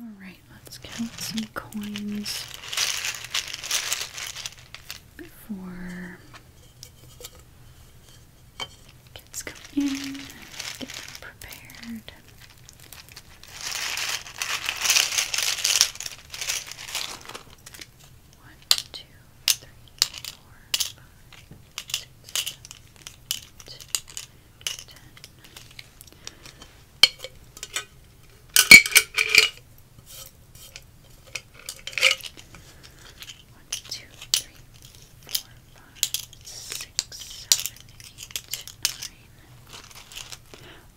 Alright, let's count some coins before kids come in, get prepared. One, two, three, four, five, six, seven, eight,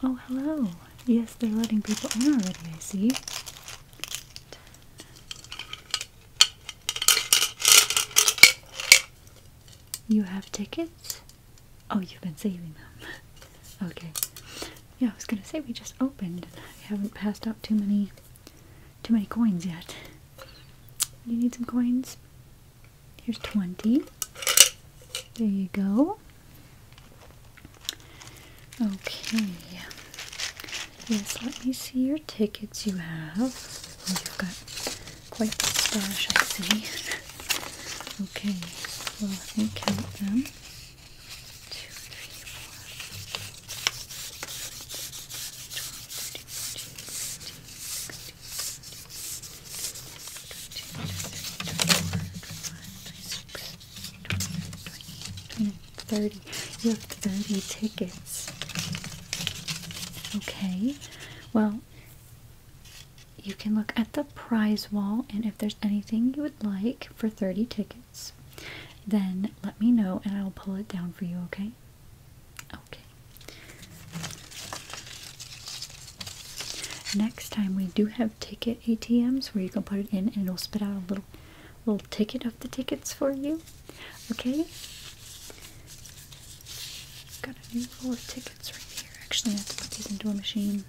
Oh, hello. Yes, they're letting people in already, I see. You have tickets? Oh, you've been saving them. okay. Yeah, I was gonna say we just opened. I haven't passed out too many, too many coins yet. Do You need some coins. Here's twenty. There you go. Okay. Yes, let me see your tickets you have. Oh, you've got quite the I see. okay, let me count them. Two, three, four, Thirty. You have thirty tickets. Okay. Well, you can look at the prize wall, and if there's anything you would like for 30 tickets, then let me know and I'll pull it down for you, okay? Okay. Next time we do have ticket ATMs where you can put it in and it'll spit out a little little ticket of the tickets for you. Okay? Got a new roll of tickets right here. Actually, I have to put these into a machine.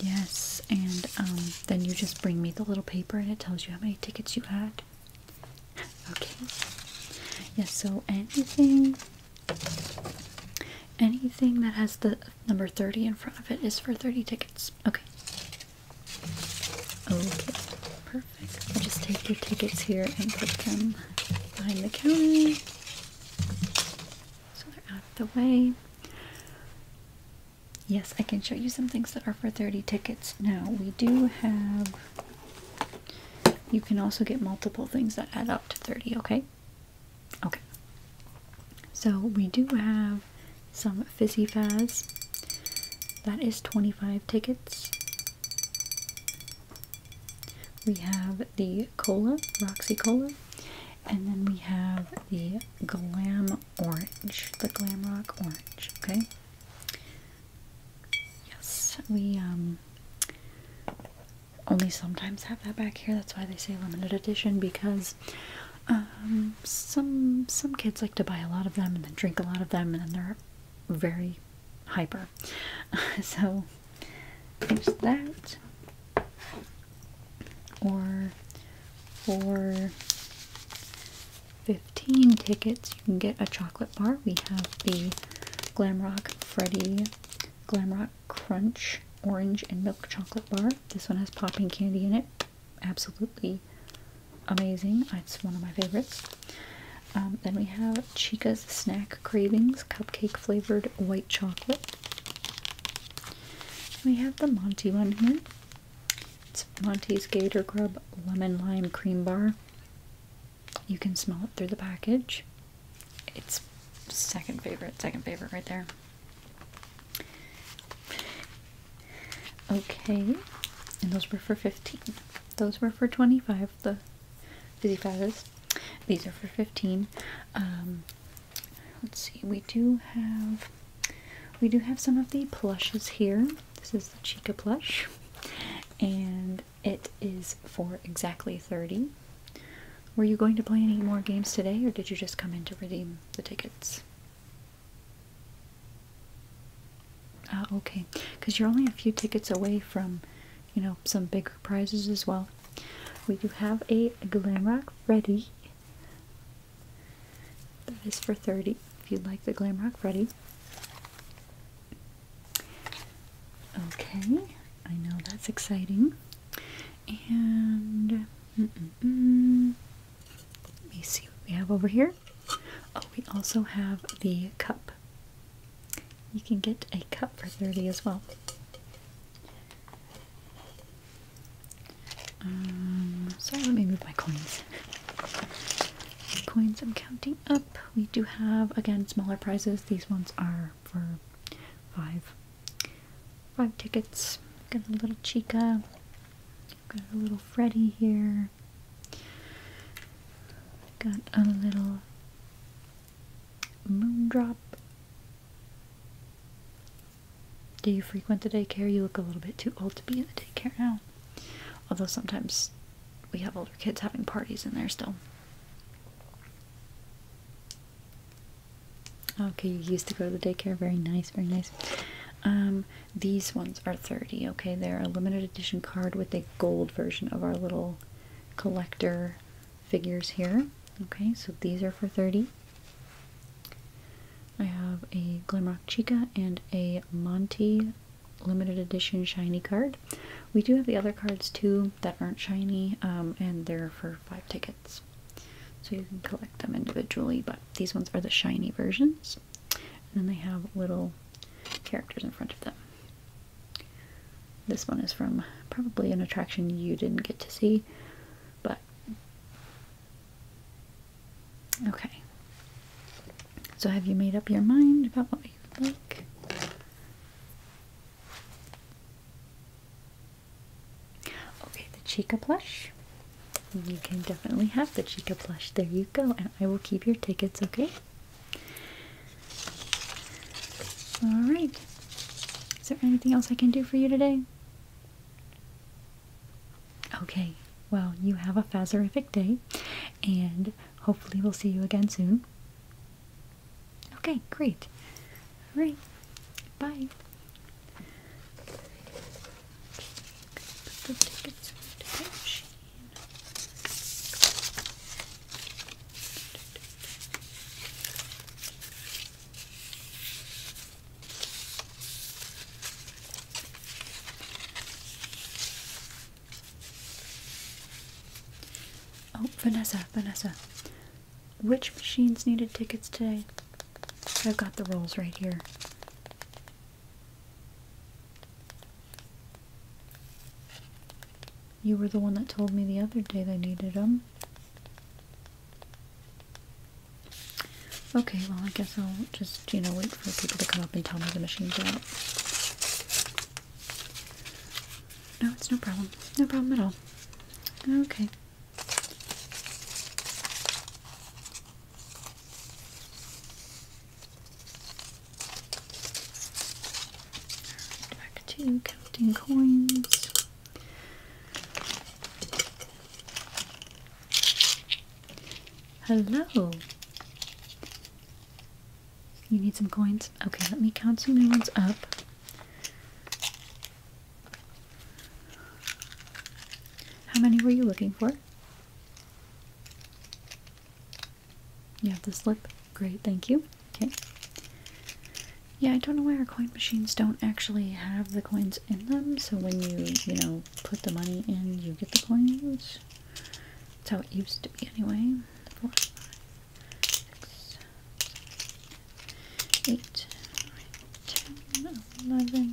Yes, and um, then you just bring me the little paper and it tells you how many tickets you had. Okay. Yes, so anything anything that has the number 30 in front of it is for 30 tickets. Okay. Okay, perfect. just take your tickets here and put them behind the counter. So they're out of the way. Yes, I can show you some things that are for 30 tickets. Now, we do have... You can also get multiple things that add up to 30, okay? Okay. So, we do have some Fizzy Faz. That is 25 tickets. We have the cola, Roxy Cola, and then we have the Glam Orange, the Glam Rock Orange, okay? Yes, we um, only sometimes have that back here. That's why they say limited edition because um, some some kids like to buy a lot of them and then drink a lot of them and then they're very hyper. so there's that. Or for 15 tickets, you can get a chocolate bar. We have the Glamrock Freddy Glamrock Crunch Orange and Milk Chocolate Bar. This one has popping candy in it. Absolutely amazing. It's one of my favorites. Um, then we have Chica's Snack Cravings Cupcake Flavored White Chocolate. we have the Monty one here. It's Monty's Gator Grub Lemon Lime Cream Bar. You can smell it through the package. It's second favorite, second favorite right there. Okay, and those were for 15 those were for 25, the Fizzy Fazzes. These are for 15. Um, let's see, we do have we do have some of the plushes here. This is the Chica plush, and it is for exactly 30. Were you going to play any more games today, or did you just come in to redeem the tickets? Ah, okay. Because you're only a few tickets away from, you know, some bigger prizes as well. We do have a glam rock Freddy. That is for 30 if you'd like the glam rock Freddy. Okay, I know that's exciting. And mm, mm, mm. let me see what we have over here. Oh, we also have the cup. You can get a cup for 30 as well. Um, sorry, let me move my coins. coins I'm counting up. We do have, again, smaller prizes. These ones are for five. Five tickets. Got a little Chica. Got a little Freddy here here. Got a little moon drop. Do you frequent the daycare? You look a little bit too old to be in the daycare now. Although sometimes we have older kids having parties in there still. Okay, you used to go to the daycare. Very nice, very nice. Um, these ones are 30 okay? They're a limited edition card with a gold version of our little collector figures here. Okay, so these are for 30 I have a Glimrock Chica and a Monty limited edition shiny card. We do have the other cards too that aren't shiny, um, and they're for five tickets. So you can collect them individually, but these ones are the shiny versions. And then they have little characters in front of them. This one is from probably an attraction you didn't get to see, but okay. So, have you made up your mind about what you like? Okay, the Chica plush. You can definitely have the Chica plush. There you go, and I will keep your tickets, okay? Alright. Is there anything else I can do for you today? Okay, well, you have a Fazerific day, and hopefully, we'll see you again soon. Okay, great. Alright, bye. Oh, Vanessa, Vanessa. Which machines needed tickets today? I've got the rolls right here. You were the one that told me the other day they needed them. Okay, well I guess I'll just, you know, wait for people to come up and tell me the machine's out. No, it's no problem. No problem at all. Okay. Back to counting coins. Hello. You need some coins? Okay, let me count some new ones up. How many were you looking for? You have the slip? Great, thank you. Okay. Yeah, I don't know why our coin machines don't actually have the coins in them, so when you, you know, put the money in, you get the coins. That's how it used to be anyway. Four, five, six, seven, eight, nine, ten, eleven,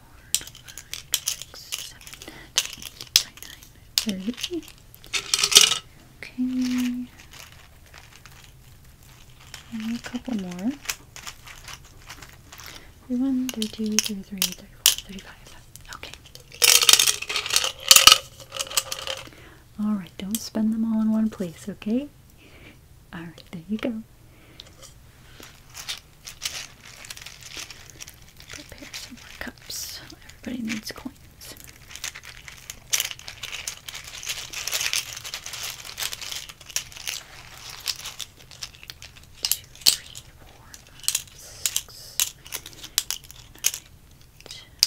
30. Okay. And a couple more. 31, 32, 33, 34, 35. Okay. Alright, don't spend them all in one place, okay? Alright, there you go. Prepare some more cups. Everybody needs coins. Two, three, four, five, six,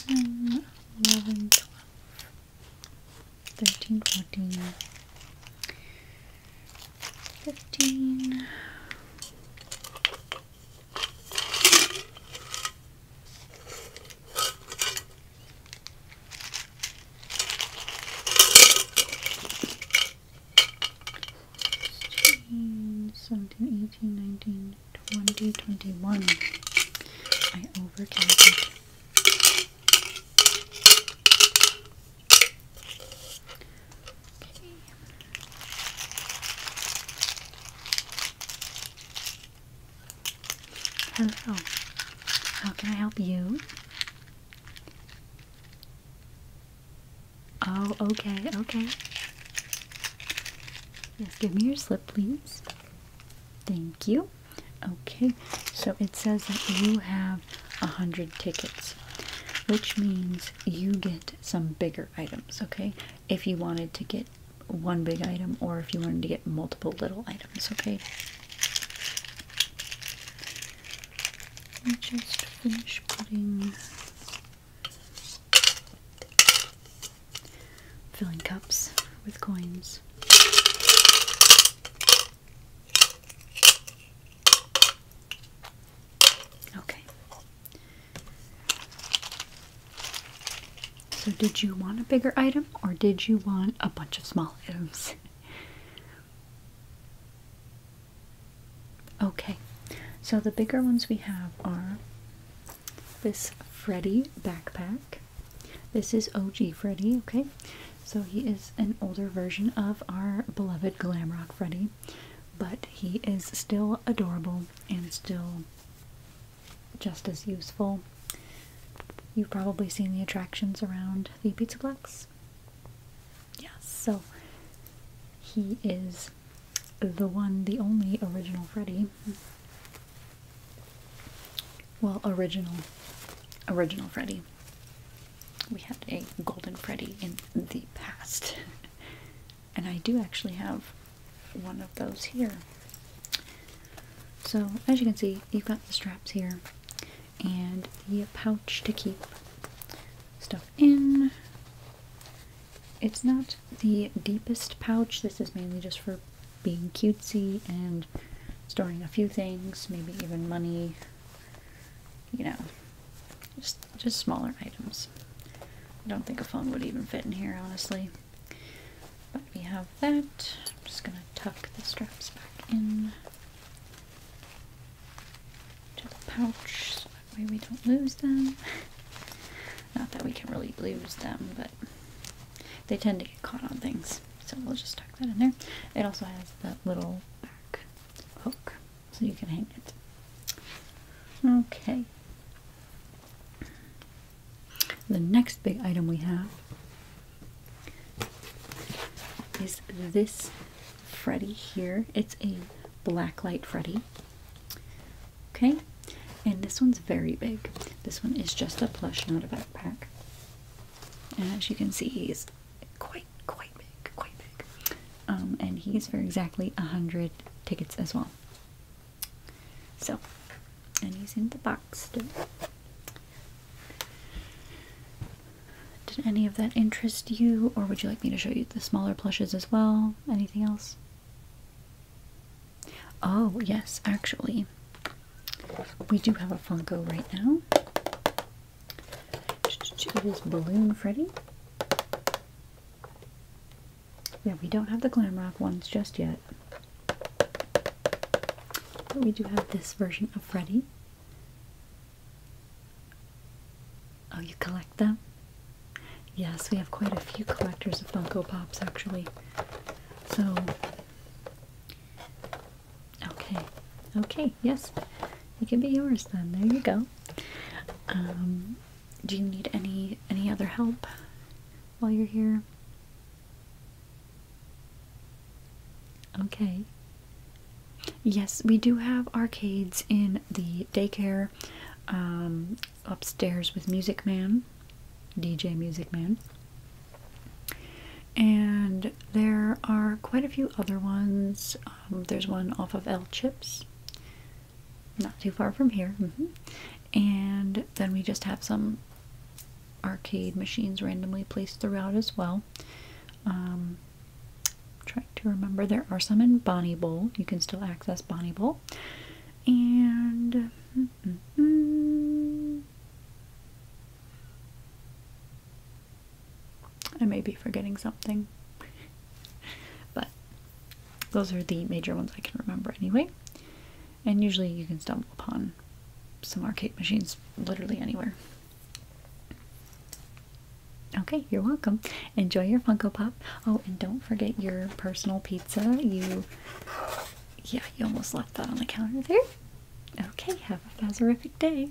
nine, ten, eleven, twelve, thirteen, fourteen. 15, 16, 17, fifteen. Sixteen, seventeen, eighteen, nineteen, twenty, twenty-one. I overcounted. Hello. How can I help you? Oh, okay, okay. Yes, give me your slip, please. Thank you. Okay, so it says that you have a hundred tickets which means you get some bigger items okay if you wanted to get one big item or if you wanted to get multiple little items okay I'll just finish putting filling cups with coins Okay. So, did you want a bigger item or did you want a bunch of small items? okay, so the bigger ones we have are this Freddy backpack. This is OG Freddy, okay? So he is an older version of our beloved glam rock Freddy, but he is still adorable and still just as useful. You've probably seen the attractions around the Pizza Place, Yes, so he is the one, the only original Freddy. Well, original, original Freddy we had a Golden Freddy in the past. and I do actually have one of those here. So, as you can see, you've got the straps here and the pouch to keep stuff in. It's not the deepest pouch, this is mainly just for being cutesy and storing a few things, maybe even money, you know, just just smaller items. I don't think a phone would even fit in here, honestly. But we have that. I'm just gonna tuck the straps back in to the pouch so that way we don't lose them. Not that we can really lose them, but they tend to get caught on things. So we'll just tuck that in there. It also has that little hook so you can hang it. Okay. The next big item we have is this Freddy here. It's a black light Freddy. Okay, and this one's very big. This one is just a plush, not a backpack. as you can see, he's quite quite, big, quite big. Um, and he's for exactly a hundred tickets as well. So, and he's in the box too. Did any of that interest you, or would you like me to show you the smaller plushes as well? Anything else? Oh, yes, actually. We do have a Funko right now. It is Balloon Freddy. Yeah, we don't have the Glamrock ones just yet. But we do have this version of Freddy. Oh, you collect them? Yes, we have quite a few collectors of Funko Pops actually. So Okay, okay, yes, it can be yours then. There you go. Um, do you need any any other help while you're here? Okay. Yes, we do have arcades in the daycare um, upstairs with Music Man, DJ Music Man. And there are quite a few other ones um, there's one off of L Chips, not too far from here. Mm-hmm. And then we just have some arcade machines randomly placed throughout as well. Um, trying to remember, there are some in Bonnie Bowl. You can still access Bonnie Bowl. And. I may be forgetting something, but those are the major ones I can remember anyway. And usually you can stumble upon some arcade machines literally anywhere. Okay, you're welcome. Enjoy your Funko Pop. Oh, and don't forget your personal pizza. You, yeah, you almost left that on the counter there. Okay, have a buzzerific day.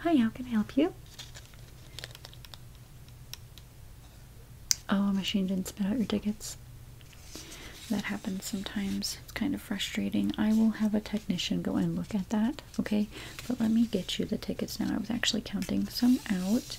Hi, how can I help you? Oh, a machine didn't spit out your tickets. That happens sometimes. It's kind of frustrating. I will have a technician go and look at that, okay? But let me get you the tickets now. I was actually counting some out.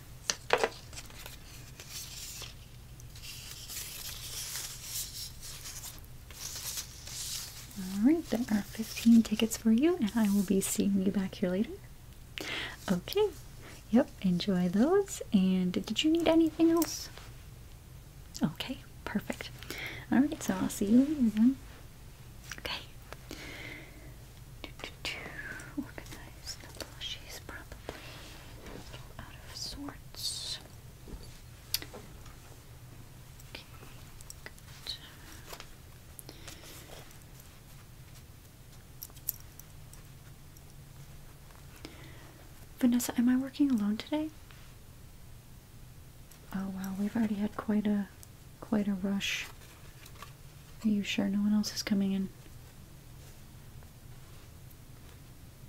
Alright, there are 15 tickets for you, and I will be seeing you back here later. Okay, yep, enjoy those. And did you need anything else? Okay, perfect. Alright, so I'll see you later then. Okay. Organize the plushies, probably out of sorts. Okay, Vanessa, am I working alone today? Oh wow, we've already had quite a quite a rush. Are you sure no one else is coming in?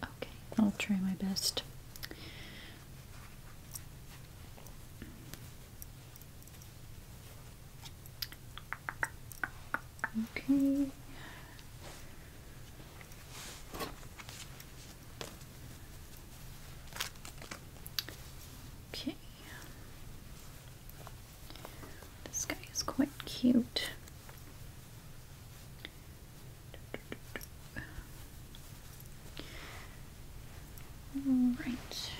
Okay, I'll try my best. Okay. Okay. This guy is quite cute. Right.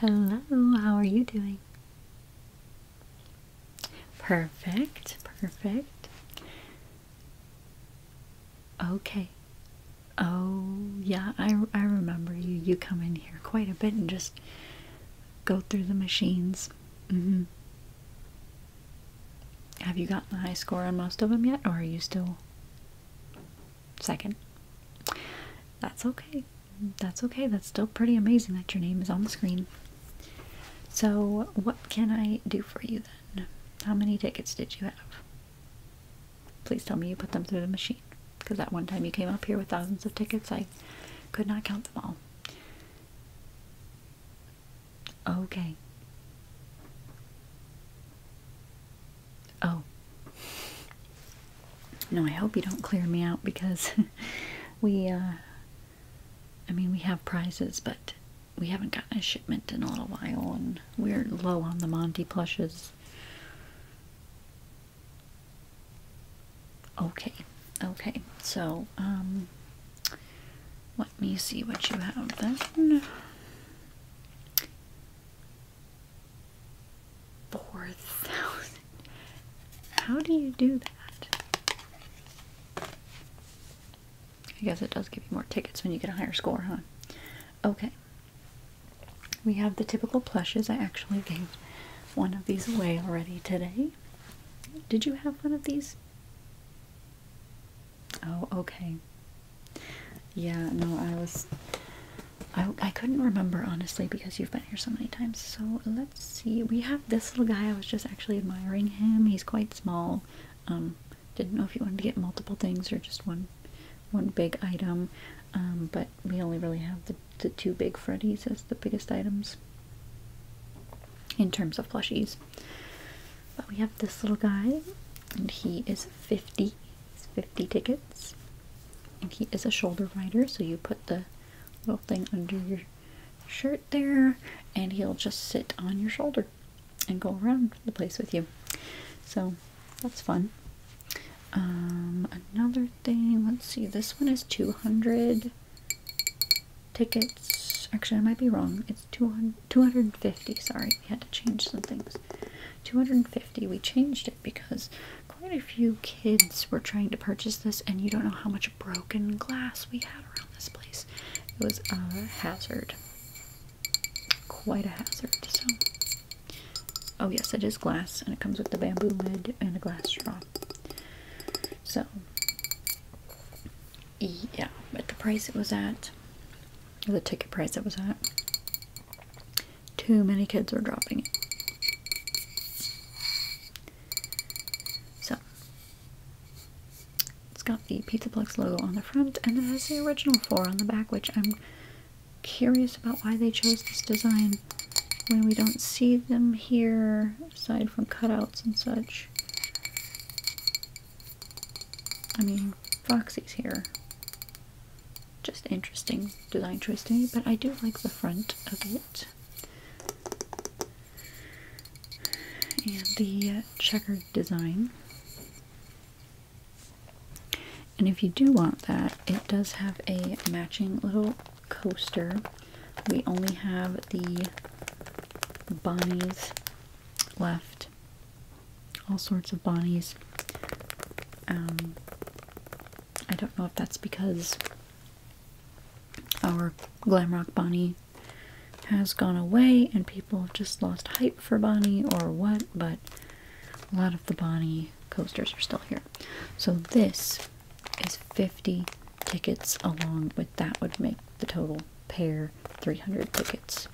Hello, how are you doing? Perfect, perfect. Okay. Oh, yeah, I, I remember you. You come in here quite a bit and just go through the machines. Mm hmm. Have you gotten the high score on most of them yet, or are you still second? That's okay. That's okay. That's still pretty amazing that your name is on the screen. So, what can I do for you then? How many tickets did you have? Please tell me you put them through the machine. Because that one time you came up here with thousands of tickets, I could not count them all. Okay. Oh. No, I hope you don't clear me out because we, uh, I mean, we have prizes, but we haven't gotten a shipment in a little while and we're low on the Monty plushes. Okay, okay, so, um, let me see what you have then. Four thousand. How do you do that? I guess it does give you more tickets when you get a higher score, huh? Okay. We have the typical plushes. I actually gave one of these away already today. Did you have one of these? Oh, okay. Yeah, no, I was. I, I couldn't remember honestly because you've been here so many times. So let's see. We have this little guy. I was just actually admiring him. He's quite small. Um, didn't know if you wanted to get multiple things or just one one big item, um, but we only really have the, the two big Freddy's as the biggest items in terms of plushies. But we have this little guy, and he is 50. 50 tickets. And he is a shoulder rider, so you put the little thing under your shirt there, and he'll just sit on your shoulder and go around the place with you. So that's fun. Um, another thing, let's see, this one is 200 tickets. Actually, I might be wrong. It's 200, 250, sorry, we had to change some things. 250, we changed it because quite a few kids were trying to purchase this and you don't know how much broken glass we had around this place. It was a hazard quite a hazard. So, oh yes, it is glass, and it comes with the bamboo lid and a glass straw. So, yeah, at the price it was at, the ticket price it was at, too many kids were dropping it. So, it's got the Pizza Plex logo on the front, and it has the original four on the back, which I'm curious about why they chose this design when we don't see them here aside from cutouts and such. I mean, Foxy's here. Just interesting design choice to me, but I do like the front of it. And the uh, checkered design. And if you do want that, it does have a matching little coaster. We only have the Bonnies left. All sorts of Bonnies. Um, I don't know if that's because our Glamrock Bonnie has gone away and people have just lost hype for Bonnie or what, but a lot of the Bonnie coasters are still here. So this is 50 tickets along with that would make the total pair 300 tickets.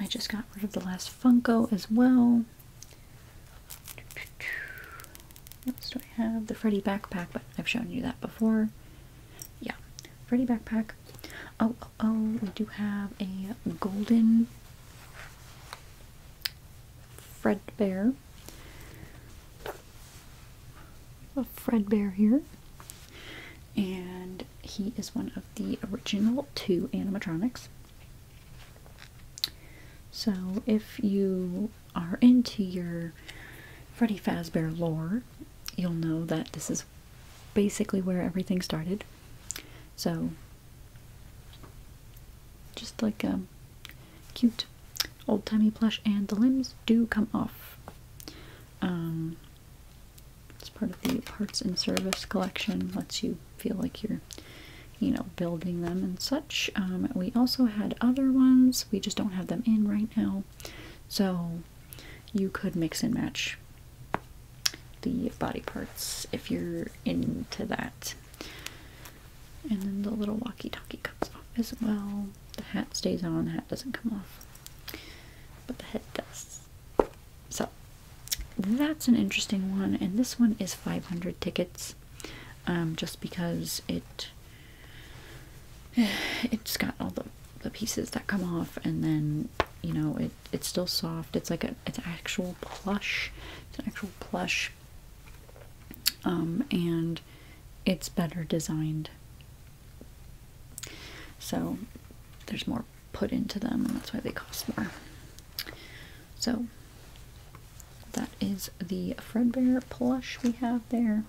I just got rid of the last Funko as well. What else do I have? The Freddy backpack, but I've shown you that before yeah, Freddy backpack. Oh, oh, oh, we do have a golden Fred Bear. A Fred Bear here. And he is one of the original two animatronics. So if you are into your Freddy Fazbear lore, you'll know that this is basically where everything started. So, just like a um, cute old timey plush, and the limbs do come off. Um, it's part of the parts and service collection, lets you feel like you're, you know, building them and such. Um, we also had other ones, we just don't have them in right now. So, you could mix and match the body parts if you're into that. And then the little walkie-talkie comes off as well. The hat stays on, the hat doesn't come off. But the head does. So that's an interesting one, and this one is 500 tickets. Um, just because it it's got all the the pieces that come off and then you know it it's still soft it's like a it's actual plush it's an actual plush um, and it's better designed so there's more put into them and that's why they cost more so that is the Fredbear plush we have there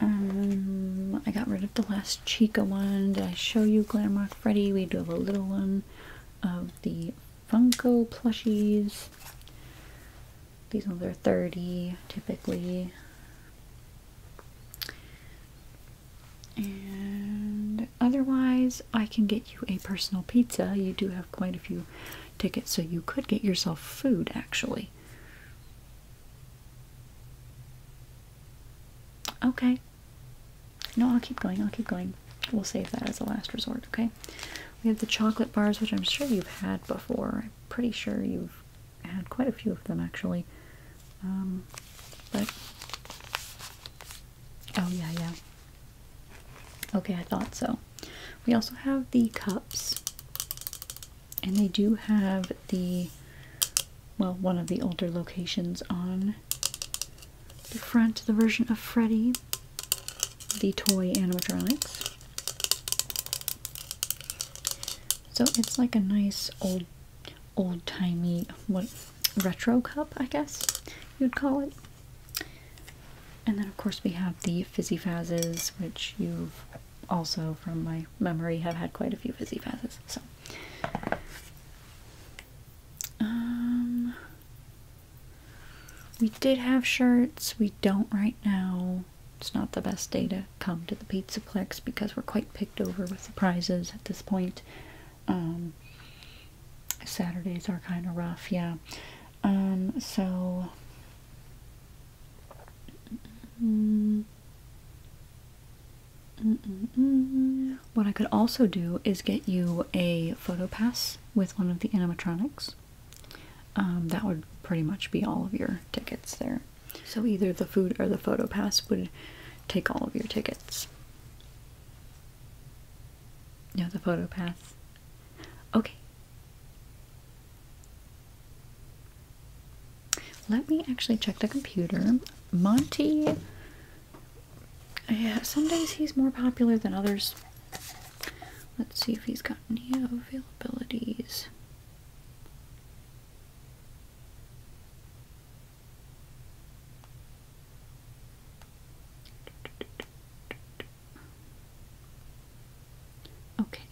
um, I got rid of the last Chica one. Did I show you Glamrock Freddy? We do have a little one of the Funko plushies. These ones are 30 typically. And otherwise, I can get you a personal pizza. You do have quite a few tickets, so you could get yourself food actually. Okay. No, I'll keep going. I'll keep going. We'll save that as a last resort, okay? We have the chocolate bars, which I'm sure you've had before. I'm pretty sure you've had quite a few of them, actually. Um, but... Oh, yeah, yeah. Okay, I thought so. We also have the cups. And they do have the, well, one of the older locations on the front, the version of Freddy, the toy animatronics. So it's like a nice old, old-timey, what, retro cup, I guess you'd call it. And then of course we have the Fizzy Fazzes, which you've also from my memory have had quite a few fizzy passes. So um, we did have shirts, we don't right now. It's not the best day to come to the Pizza Plex because we're quite picked over with the prizes at this point. Um, Saturdays are kind of rough, yeah. Um, so Mm. What I could also do is get you a photo pass with one of the animatronics. Um, that would pretty much be all of your tickets there. So either the food or the photo pass would take all of your tickets. Yeah, the photo pass. Okay. Let me actually check the computer. Monty. Yeah, some days he's more popular than others. Let's see if he's got any availabilities. Okay.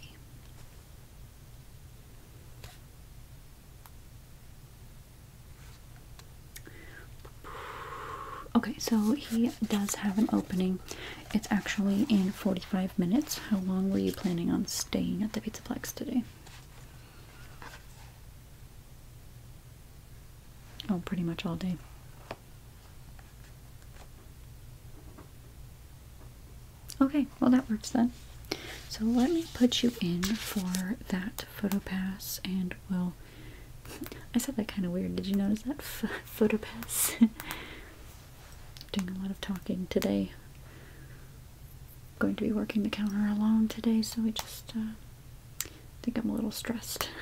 Okay, so he does have an opening. It's actually in 45 minutes. How long were you planning on staying at the Pizza Plex today? Oh, pretty much all day. Okay, well that works then. So let me put you in for that photo pass and we'll I said that kind of weird. Did you notice that F photo pass? Doing a lot of talking today. going to be working the counter alone today, so I just uh, think I'm a little stressed.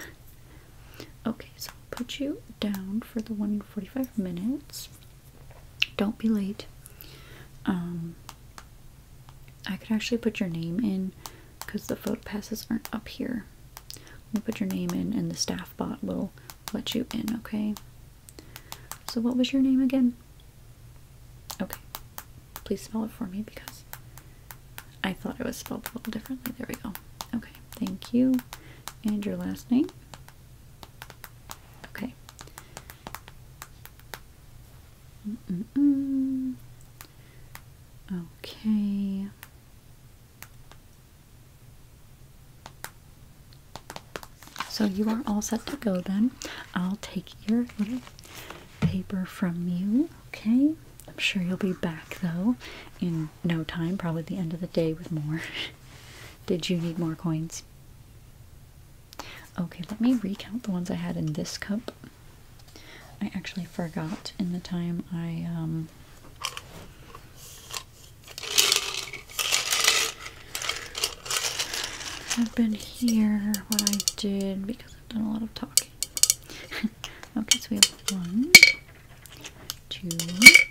Okay, so I'll put you down for the one minutes. Don't be late. Um, I could actually put your name in because the photo passes aren't up here. We'll put your name in and the staff bot will let you in, okay? So what was your name again? Okay. Please spell it for me because I thought it was spelled a little differently. There we go. Okay, thank you. And your last name? Okay. Okay. So you are all set to go then. I'll take your little paper from you, okay? I'm sure you'll be back though in no time, probably the end of the day with more. Did you need more coins? Okay, let me recount the ones I had in this cup. I actually forgot in the time I um, have been here what I did because I've done a lot of talking. okay, so we have one, two,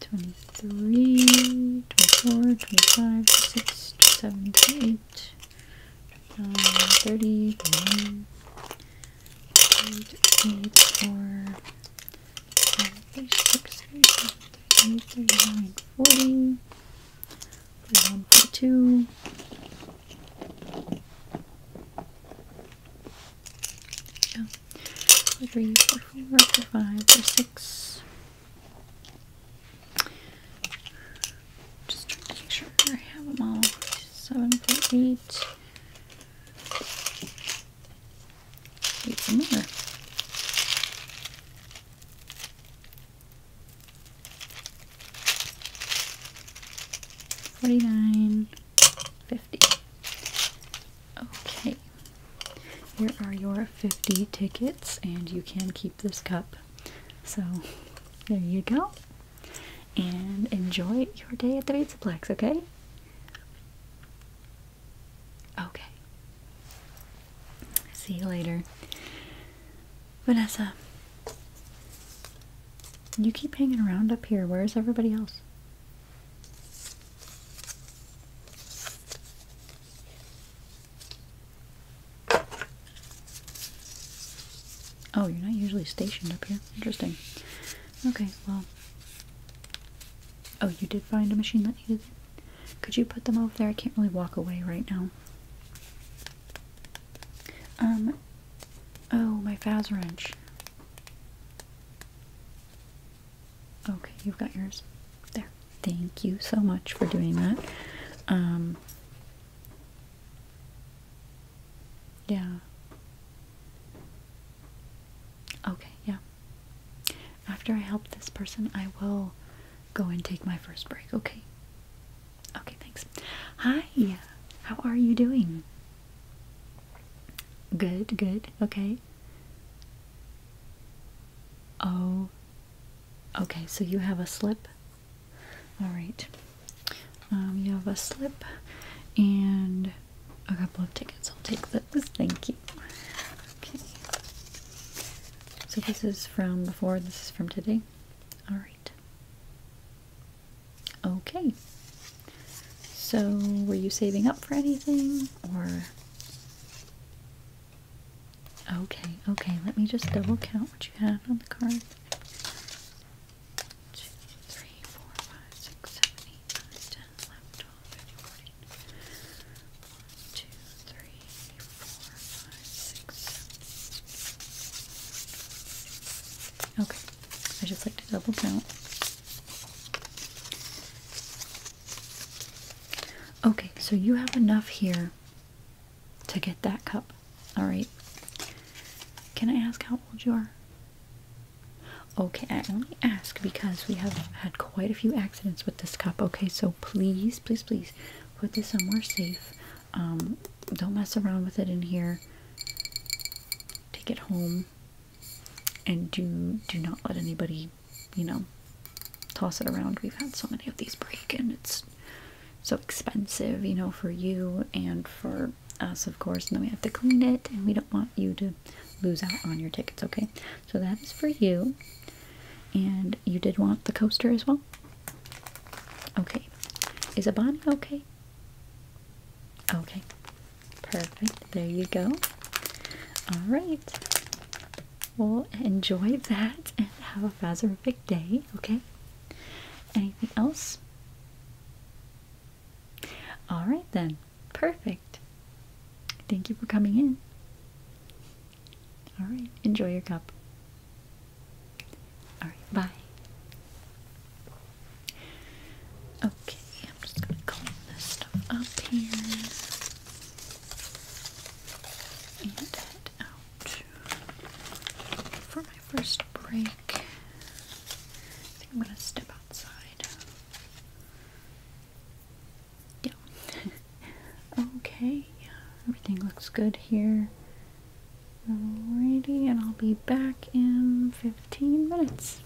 23, 24, 25, 26, 27, 28, 30, 31, 34, 36, 37, 38, 39, 40, 41, 42, three, four, four, four, five, four, six. Just trying to make sure I have them all. Seven, four, eight. Wait some more. Forty-nine, fifty. Okay, here are your 50 tickets, and you can keep this cup. So, there you go. And enjoy your day at the Pizzaplex, okay? Okay. See you later. Vanessa, you keep hanging around up here. Where's everybody else? Oh, you're not usually stationed up here. Interesting. Okay, well. Oh, you did find a machine that needed Could you put them over there? I can't really walk away right now. Um. Oh, my Faz wrench. Okay, you've got yours. There. Thank you so much for doing that. Um, yeah. Okay, yeah. After I help this person, I will go and take my first break, okay? Okay, thanks. Hi, how are you doing? Good, good, okay. Oh, okay, so you have a slip. All right. Um, you have a slip and a couple of tickets. I'll take those. Thank you. Okay. So this is from before, this is from today. All right. Okay. So were you saving up for anything or Okay, okay, let me just double count what you have on the card. Okay, I just like to double count. Okay, so you have enough here to get that cup. All right. Can I ask how old you are? Okay, I only ask because we have had quite a few accidents with this cup. Okay, so please, please, please put this somewhere safe. Um, don't mess around with it in here. Take it home and do do not let anybody, you know, toss it around. We've had so many of these break, and it's so expensive, you know, for you and for us, of course. And then we have to clean it, and we don't want you to lose out on your tickets. Okay, so that is for you. And you did want the coaster as well. Okay, is a Bonnie okay? Okay, perfect. There you go. All right. Well, enjoy that and have a phasorific day, okay? Anything else? All right, then. Perfect. Thank you for coming in. All right. Enjoy your cup. All right. Bye. Okay. I'm just going to clean this stuff up here and out for my first break. I think I'm gonna step outside. Yeah. okay. Everything looks good here. Alrighty, and I'll be back in 15 minutes.